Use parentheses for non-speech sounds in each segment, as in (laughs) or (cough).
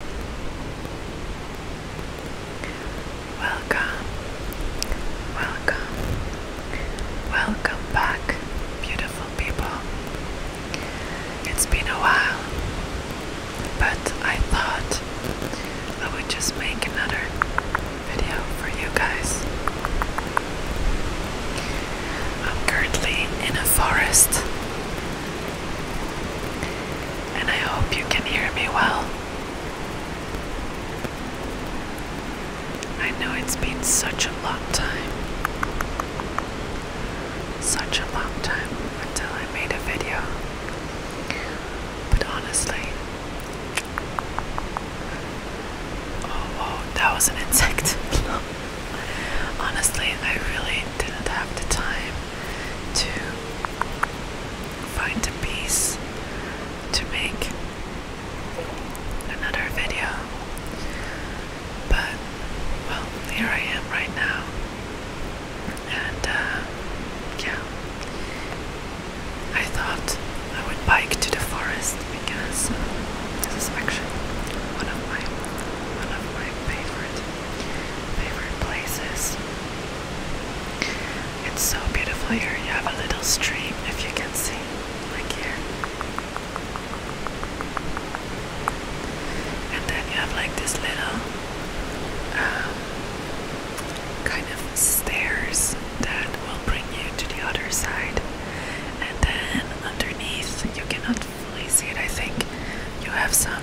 Welcome, welcome, welcome back, beautiful people. It's been a while, but I thought I would just make another video for you guys. I'm currently in a forest and I hope you can hear me well. I know it's been such a long time. Such a long time until I made a video. But honestly, oh, whoa, that was an insect. (laughs) Honestly, I really didn't have the time to find the piece to make another video. But well, here I am right now, and uh, yeah, I thought I would bike to the forest because this is actually one of my one of my favorite Favorite places. It's so beautiful here. You have a little stream if you can see, like here. And then you have like this little um, kind of stairs that will bring you to the other side. And then underneath, you cannot fully see it, I think. You have some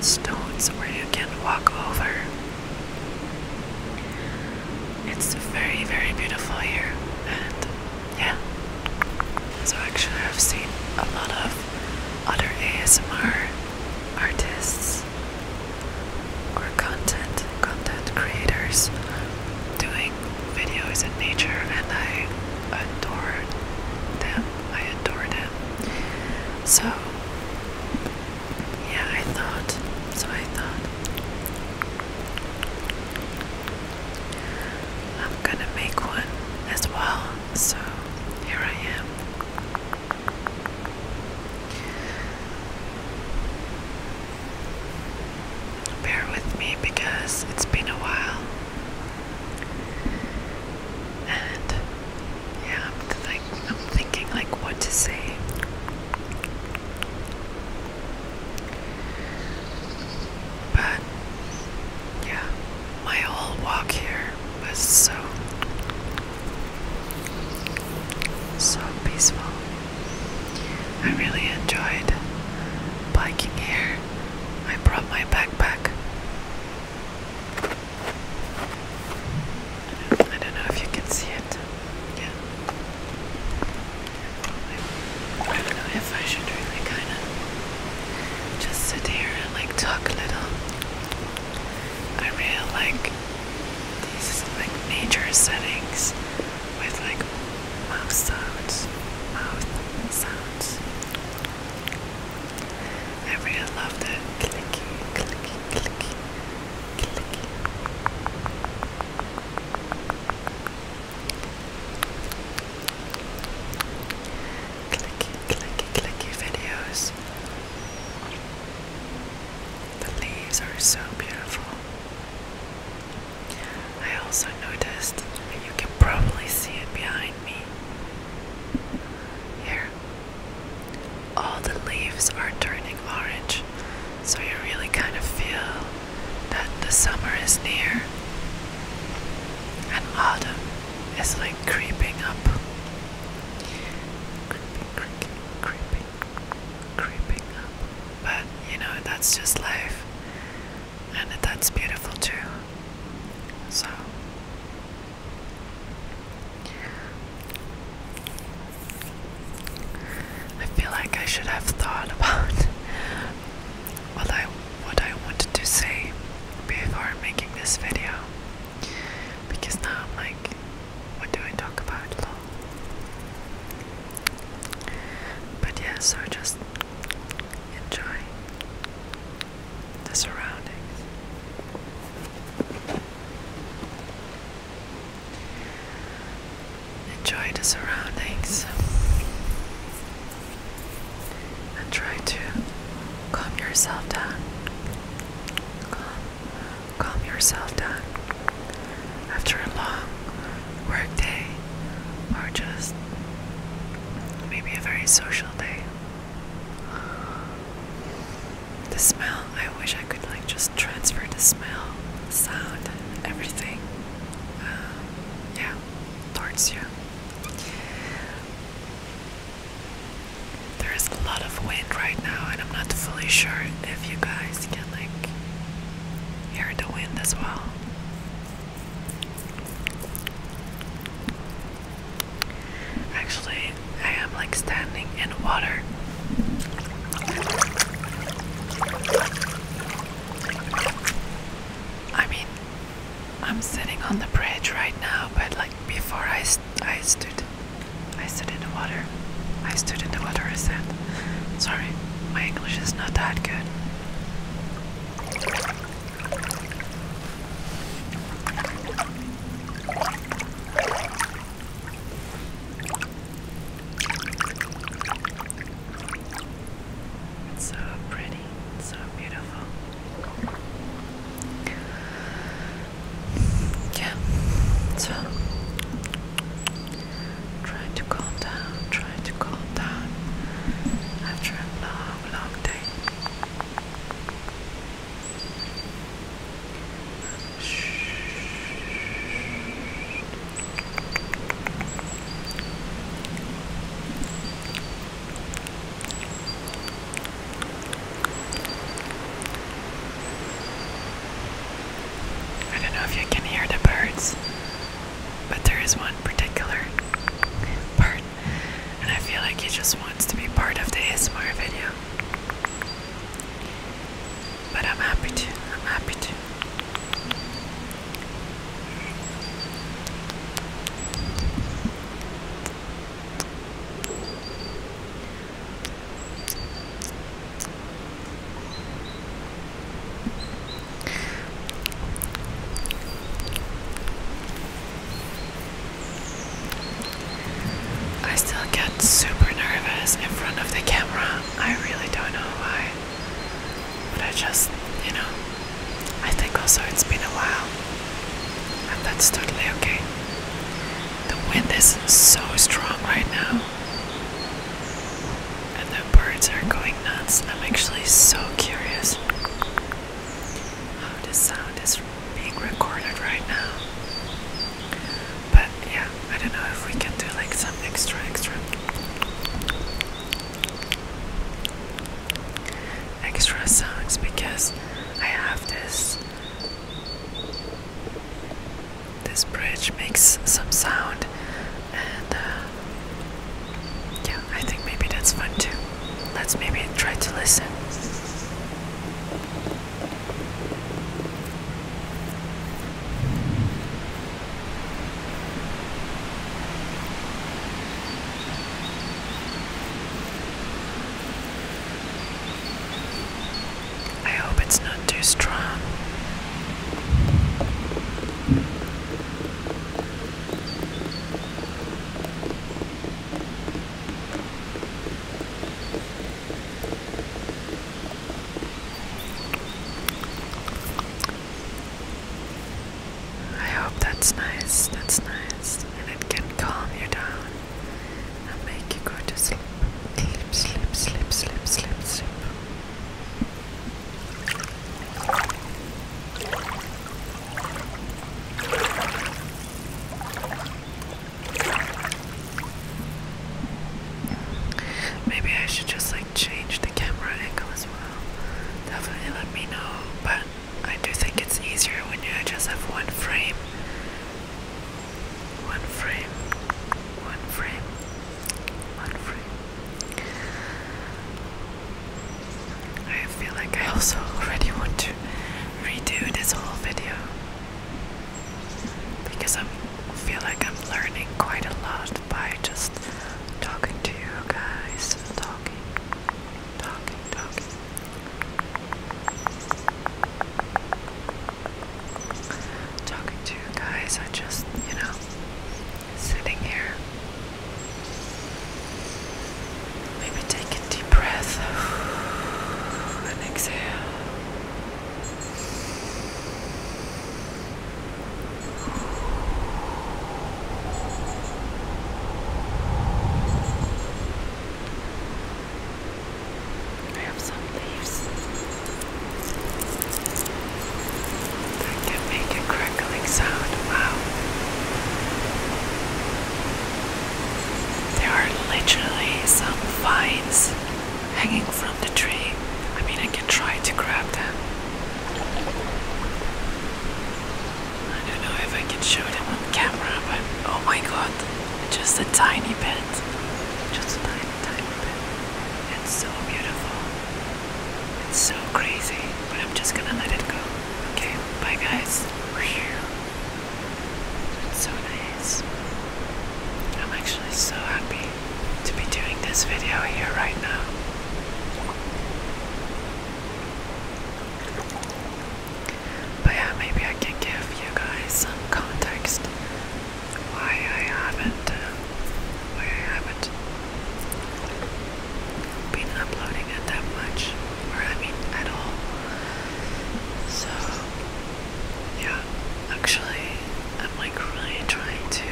stones where you can walk over. It's very, very beautiful here, and yeah. So, actually, I've seen a lot of other ASMR artists or content content creators doing videos in nature, and I adore them. I adored him. So yeah, I thought. So I thought I'm gonna make one as well. So here I am. Bear with me because it's been a while. And yeah, I'm thinking like what to say. But yeah, my whole walk here was so so peaceful. I really enjoyed biking here. I brought my backpack I don't, know if you can see it. Yeah. I don't know if I should really kind of just sit here and like talk a little. I really like these like nature settings with like mouth sounds, mouth sounds. I really love the clicky, clicky, clicky, clicky. Clicky, clicky, clicky videos. The leaves are so beautiful. I also noticed, and you can probably see it behind me, here. All the leaves are turning orange, so you really kind of feel that the summer is near and autumn is like creeping up. Creeping, creeping, creeping, creeping up. But you know, that's just life and that's beautiful too. So, I feel like I should have thought about (laughs) what I what I wanted to say before making this video, because now I'm like, what do I talk about? But yeah, so just enjoy the surroundings. Enjoy the surroundings and try to calm yourself down. Calm, calm yourself down after a long work day or just maybe a very social day. The smell, I wish I could like just transfer the smell, the sound, everything. Uh, yeah, towards you. There is a lot of wind right now, and I'm not fully sure if you guys can like hear the wind as well. Actually, I am like standing in water. I mean, I'm sitting on the bridge right now, but like before I, I stood, I stood in the water. I stood in the water, I said. Sorry, my English is not that good. It's so pretty, it's so beautiful. Yeah, so try to calm down, try to calm down after a long, long day. I don't know if you can hear the birds, but there is one particular bird and I feel like he just wants to be part of the ASMR video. But I'm happy to. I'm happy to. I still get super nervous in front of the camera. I really don't know why. But I just, you know, I think also it's been a while. And that's totally okay. The wind is so strong right now. And the birds are going nuts. I'm actually so curious how the sound is being recorded right now. But yeah, I don't know if we can do like some extra, extra, extra sounds because I have this. This bridge makes some sound, and uh, yeah, I think maybe that's fun too. Let's maybe try to listen. I hope it's not too strong. I hope that's nice, that's nice, and it can calm you down and make you go to sleep. Sleep, sleep, sleep, sleep, sleep, sleep. Maybe I should just like change the camera angle as well. Definitely let me know, but I do think it's easier when you just have one frame. One frame, one frame, one frame. I feel like I also already want to redo this whole video because I feel like I'm learning quite a lot by just talking to you guys, talking, talking, talking. Talking to you guys, I just, you know, sitting here Maybe take a deep breath and exhale. I have some leaves that can make a crackling sound. Wow. There are literally some vines hanging from the tree. I mean, I can try to grab them. I don't know if I can show them on camera, but oh my god, just a tiny bit. Just a tiny, tiny bit. It's so beautiful. It's so crazy, but I'm just gonna let it go. Okay, bye guys. It's so nice. I'm actually so happy to be doing this video here right now. But yeah, maybe I can give you guys some context why I haven't, uh, why I haven't been uploading it that much or I mean at all. So yeah, actually I'm like really trying to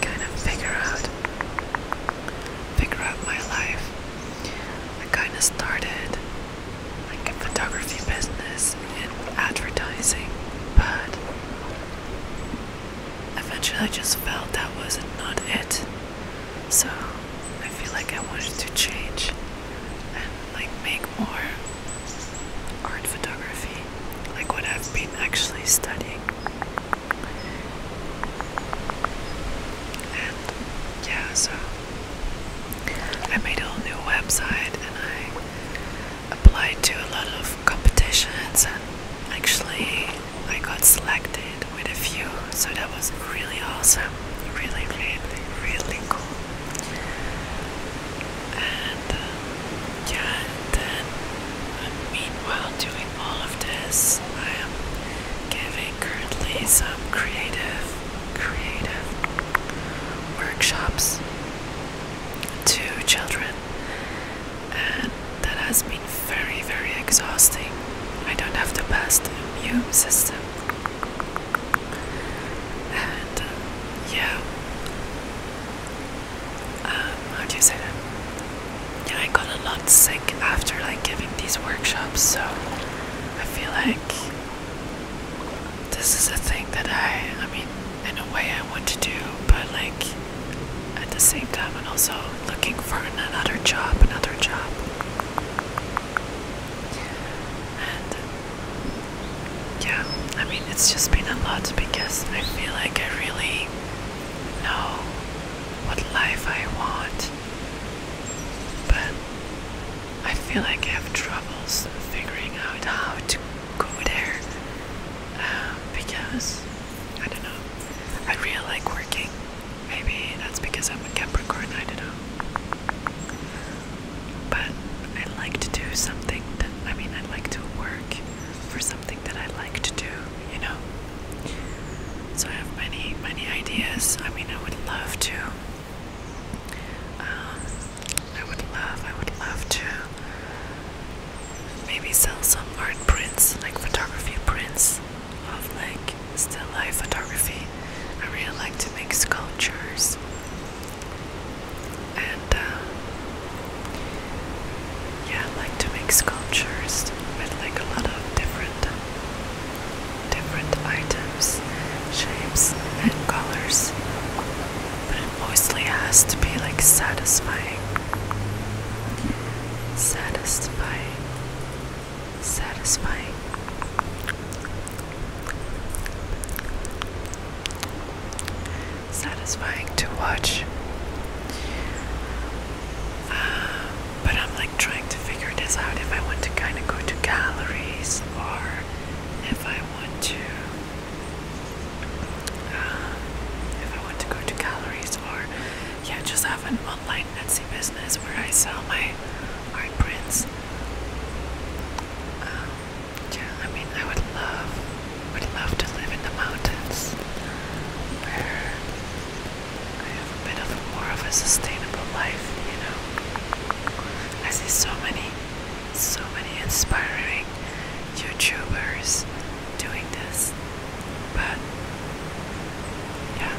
kind of figure out figure out my life. I kinda started like a photography business in advertising, but eventually I just felt that wasn't not it. So I feel like I wanted to change and like make more art photography, like what I've been actually studying. And yeah, so I made a whole new website and I applied to a lot of competitions and actually I got selected with a few, so that was really awesome, really, really, really cool. And uh, yeah, then meanwhile doing all of this, I am giving currently some creative, creative workshops to children, and that has been very, very exhausting. I don't have the best immune system, and uh, yeah, um, how do you say that? Yeah, I got a lot sick after like giving these workshops, so I feel like this is a thing that I, I mean, in a way I want to do, but like at the same time, and also looking for another job, another job yeah, I mean, it's just been a lot because I feel like I really know what life I want, but I feel like I have troubles figuring out how to go there uh, because I don't know. I really like working Maybe that's because I'm a Capricorn, I don't know. But I would like to do something that, I mean, I would like to work for something that I like to do, you know? So I have many, many ideas. I mean, I would love to. Um, I would love, I would love to maybe sell some art prints, like photography prints of like still life photography. I really like to make sculptures and uh, yeah, I like to make sculptures with like a lot of different different items, shapes and colors. But it mostly has to be like satisfying. Satisfying satisfying. Satisfying to watch. Uh, but I'm like trying to figure this out if I want to kind of go to galleries or if I want to. Uh, if I want to go to galleries or yeah, just have an online Etsy business where I sell my my prince. Um, yeah, I mean, I would love, would love to live in the mountains, where I have a bit of a, more of a sustainable life. You know, I see so many, so many inspiring YouTubers doing this, but yeah,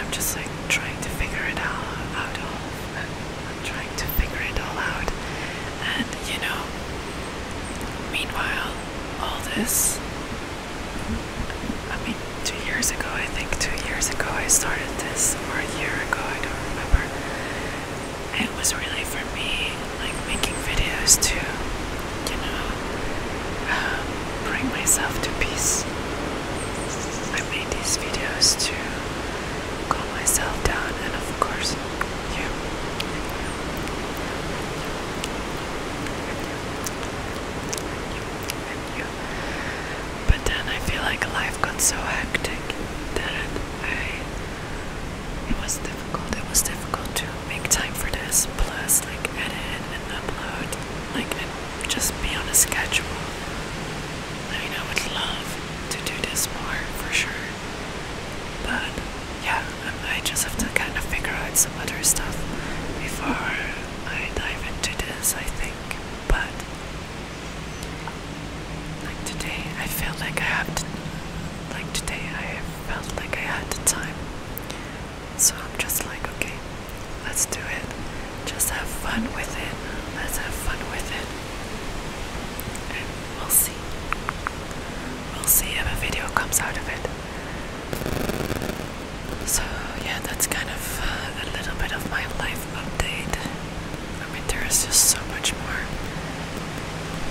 I'm just like trying to figure it all out. All i trying to figure it all out, and you know, meanwhile, all this. I mean, two years ago, I think two years ago I started this, or a year ago, I don't remember. It was really for me, like making videos to, you know, um, bring myself to peace. I made these videos to calm myself down and of course you. And you. But then I feel like life got so hectic that I it was difficult. It was difficult to make time for this. Plus, like edit and upload. Like just be on a schedule. I mean, I would love to do this more for sure, but yeah, um, I just have to kind of figure out some other stuff before I dive into this, I think. But like today, I felt like I had to, like today, I felt like I had the time, so I'm just like, okay, Let's do it. Just have fun with it. Let's have fun with it. And we'll see. We'll see if a video comes out of it. So, yeah, that's kind of uh, a little bit of my life update. I mean, there is just so much more.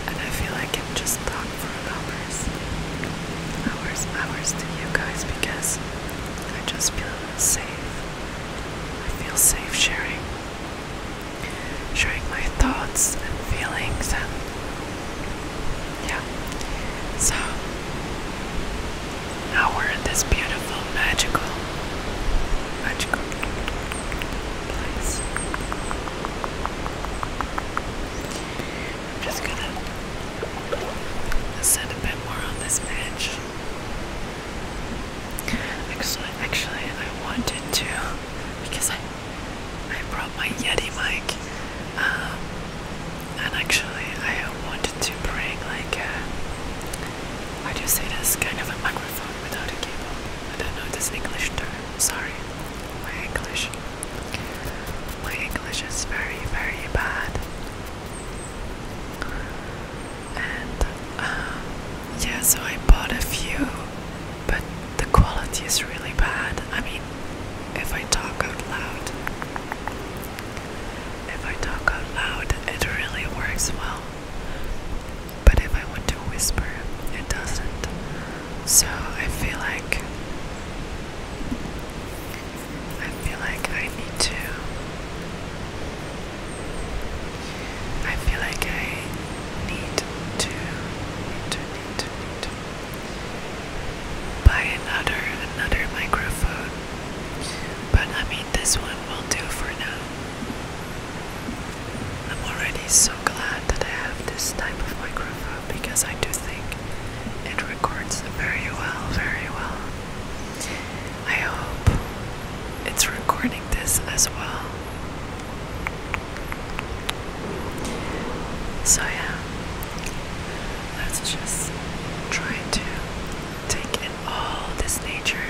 And I feel like I can just talk for hours. Hours, hours to you guys because I just feel sick I feel safe sharing. Sharing my thoughts and feelings and yeah. So now we're in this beautiful magical magical place. I'm just gonna sit a bit more on this edge. Actually, I wanted to because I I brought my Yeti mic, um, and actually I wanted to bring like I how do say this? Kind of a microphone without a cable. I don't know this English term. Sorry, my English. My English is very, very bad. Um, yeah, so I bought a few, but the quality is really bad. I mean, if I talk out loud, if I talk out loud, it really works well, but if I want to whisper, it doesn't. So I feel like I feel like I need to. I feel like I need to, need to, need to, need to buy another, another microphone. But I mean, this one will do for now. I'm already so glad that I have this type of microphone because I do think it records very well, very well. I hope it's recording this as well. So, yeah, let's just try to take in all this nature.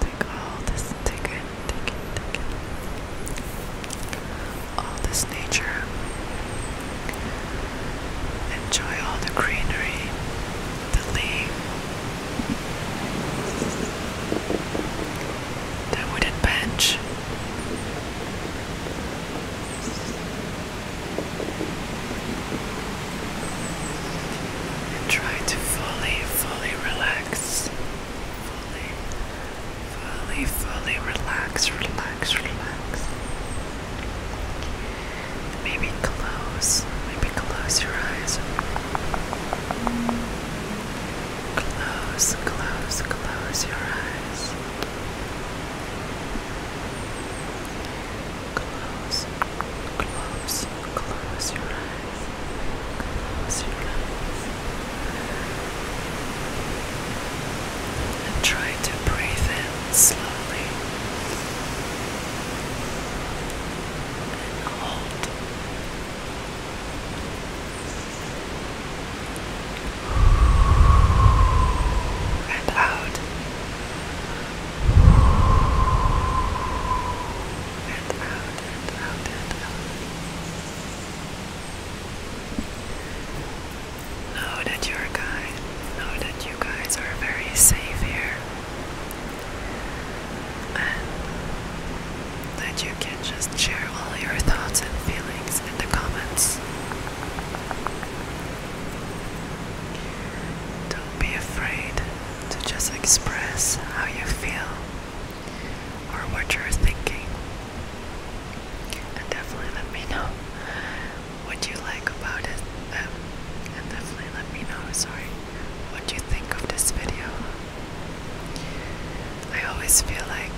Take all this, take in, take in, take in. All this nature. Enjoy all the greenery, the leaves, the wooden bench. And try to fully, fully relax. Fully, fully, fully relax, relax, relax. Maybe close, maybe close your eyes. Close, close, close your eyes. Close, close, close your eyes. Close your eyes and try to breathe in slowly and hold. And out and out and out and out. Know that you're guy know that you guys are very safe here and that you can just share all your thoughts and feelings in the comments. Don't be afraid to just express how you feel or what you're thinking. And definitely let me know what you like about it um, and definitely let me know sorry what you think of this video I always feel like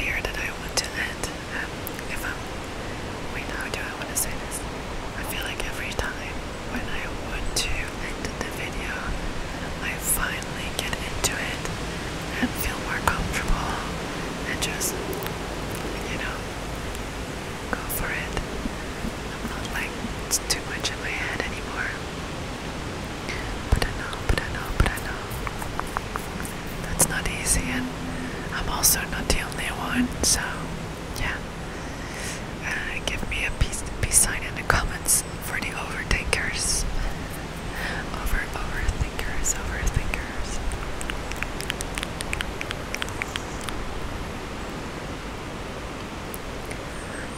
here that I want to end um, if I'm wait how do I want to say this I feel like every time when I want to end the video I finally get into it and feel more comfortable and just you know go for it. I'm not like it's too much in my head anymore. But I know, but I know, but I know. That's not easy, and I'm also not the only one, so yeah. Uh, give me a peace, peace sign in the comments for the overthinkers. Over, overthinkers, overthinkers.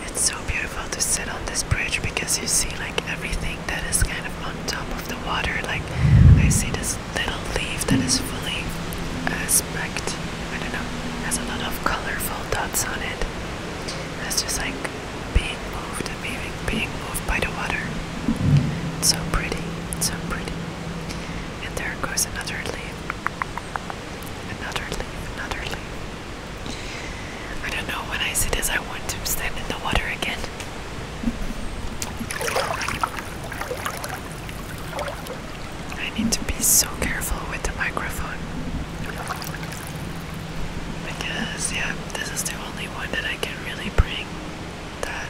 It's so beautiful to sit on this bridge because you see like everything that is kind of on top of the water. Like I see this little leaf that is fully uh, specked. I don't know. Has a lot of colorful dots on it. It's just like being moved and being being moved by the water. so pretty. so pretty. And there goes another leaf. Another leaf, another leaf. I don't know when I see this, I want to stand in the water again. I need to be so careful with the microphone. Because, yeah, this is the only one that I can really bring that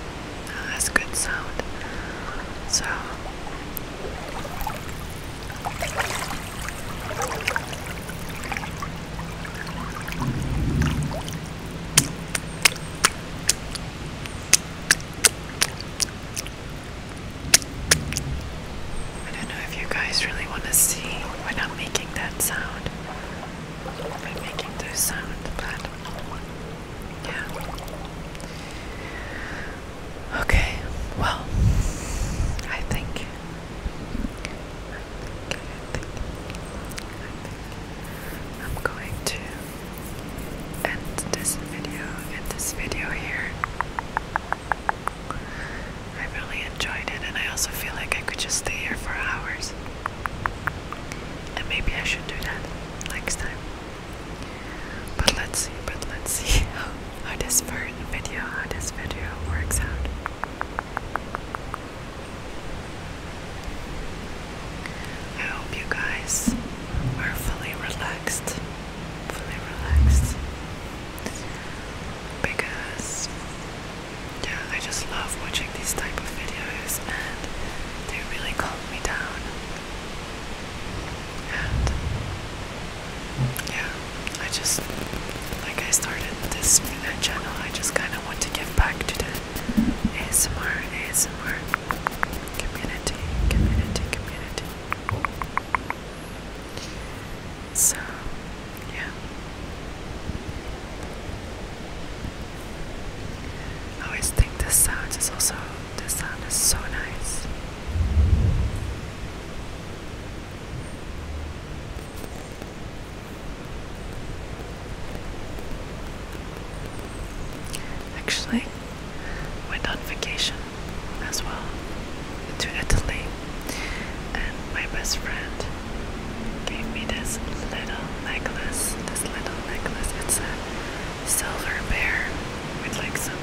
uh, has good sound. So I don't know if you guys really want to see when I'm making that sound. I'm making those sounds, but yeah. Okay, well, I think. I am going to end this video, end this video here. I really enjoyed it, and I also feel like I could just stay here for hours. And maybe I should do that next time. But let's see, but let's see (laughs) how, this video, how this video works out. I hope you guys are fully relaxed, fully relaxed, because yeah, I just love watching these type of videos, and they are really calm me down. And yeah, I just, like I started this channel, I just kind of want to give back to the ASMR, ASMR community, community, community. So, yeah. I always think this sound is also this sound is so nice. Actually, went on vacation as well to Italy, and my best friend gave me this little necklace. This little necklace. It's a silver bear with like some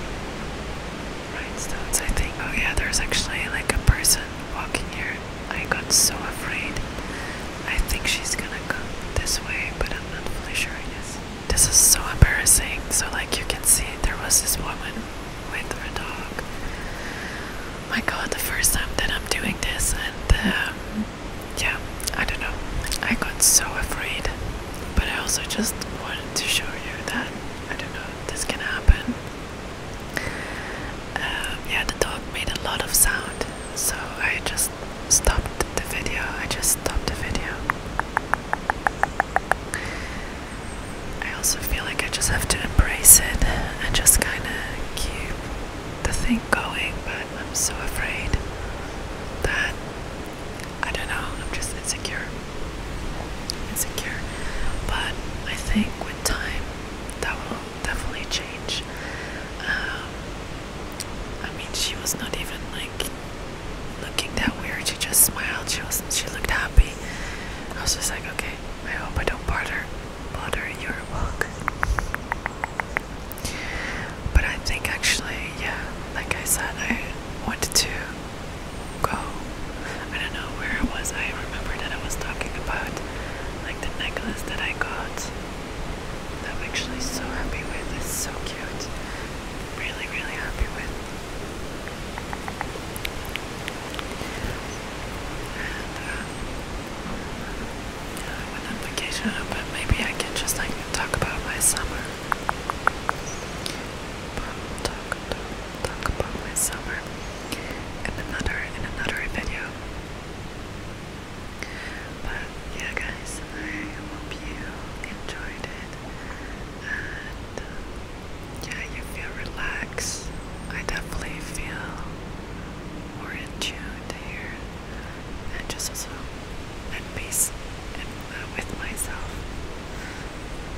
rhinestones, I think. Oh, yeah, there's actually like a person walking here. I got so afraid. I think she's gonna come this way, but I'm not fully sure, I This is so embarrassing. So, like, you can see there was this woman with her dog. My god, the first time that I'm doing this, and um, yeah, I don't know. I got so afraid, but I also just wanted to show you that I don't know this can happen. Uh, yeah, the dog made a lot of sound, so I just stopped the video. I just stopped the video. I also feel like I just have to embrace it and just kind of keep the thing going, but I'm so afraid that I don't know, I'm just insecure. Insecure. But I think with time that will definitely change. Um, I mean, she was not even like looking that weird, she just smiled, she was she looked happy. I was just like, okay, I hope I don't bother bother your walk. But I think actually, yeah, like I said, I wanted to go. I don't know where it was. I remember that I was talking about like the necklace that I got. That I'm actually so happy with. It's so cute. Really, really happy with. Uh, yeah, I went on vacation, but maybe I can just like talk about my summer. Talk, talk, talk about my summer in another in another video. But yeah, guys, I hope you enjoyed it, and yeah, you feel relaxed. I definitely feel more in tune here and just also at peace and uh, with myself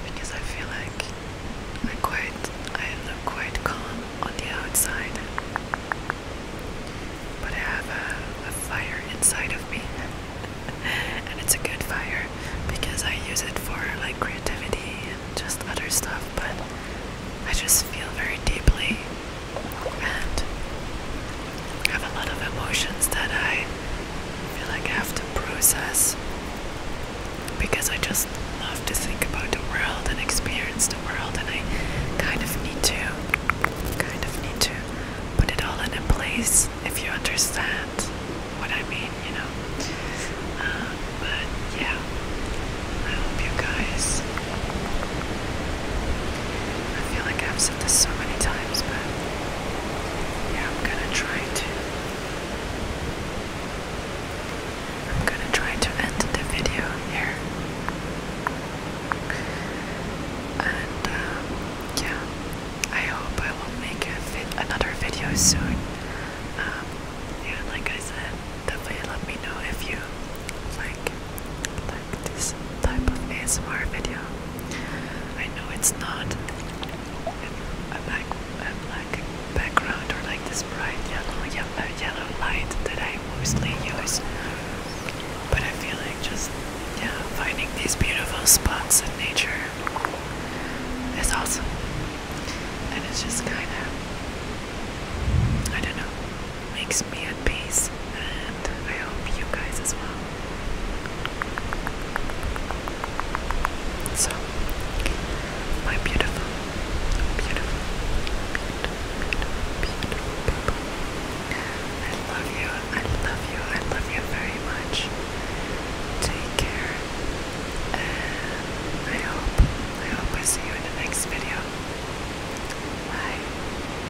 because I feel like I quite I look quite calm on the outside, but I have a fire inside of me, (laughs) and it's a good fire because I use it for like creativity and just other stuff. But I just feel very deeply and have a lot of emotions that I feel like I have to process because I just love to think about the world and experience the world and I kind of need to kind of need to put it all in a place if you understand what I mean, you know. Uh, but yeah, I hope you guys I feel like I've I've said this so many times, but yeah, I'm gonna try to. I'm gonna try to end the video here. And um, yeah, I hope I will make another video soon. Um, yeah, like I said, definitely let me know if you like, this type of ASMR video. I know it's not a black, a black background or like this bright yellow, yellow, uh, yellow light that I mostly use, but I feel like just yeah, finding these beautiful spots in nature is awesome, and it's just kind of I don't know makes me at peace and I hope you guys as well. So, my beautiful, beautiful, beautiful, beautiful people, I love you, I love you, I love you very much. Take care, and I hope, I hope I see you in the next video. Bye.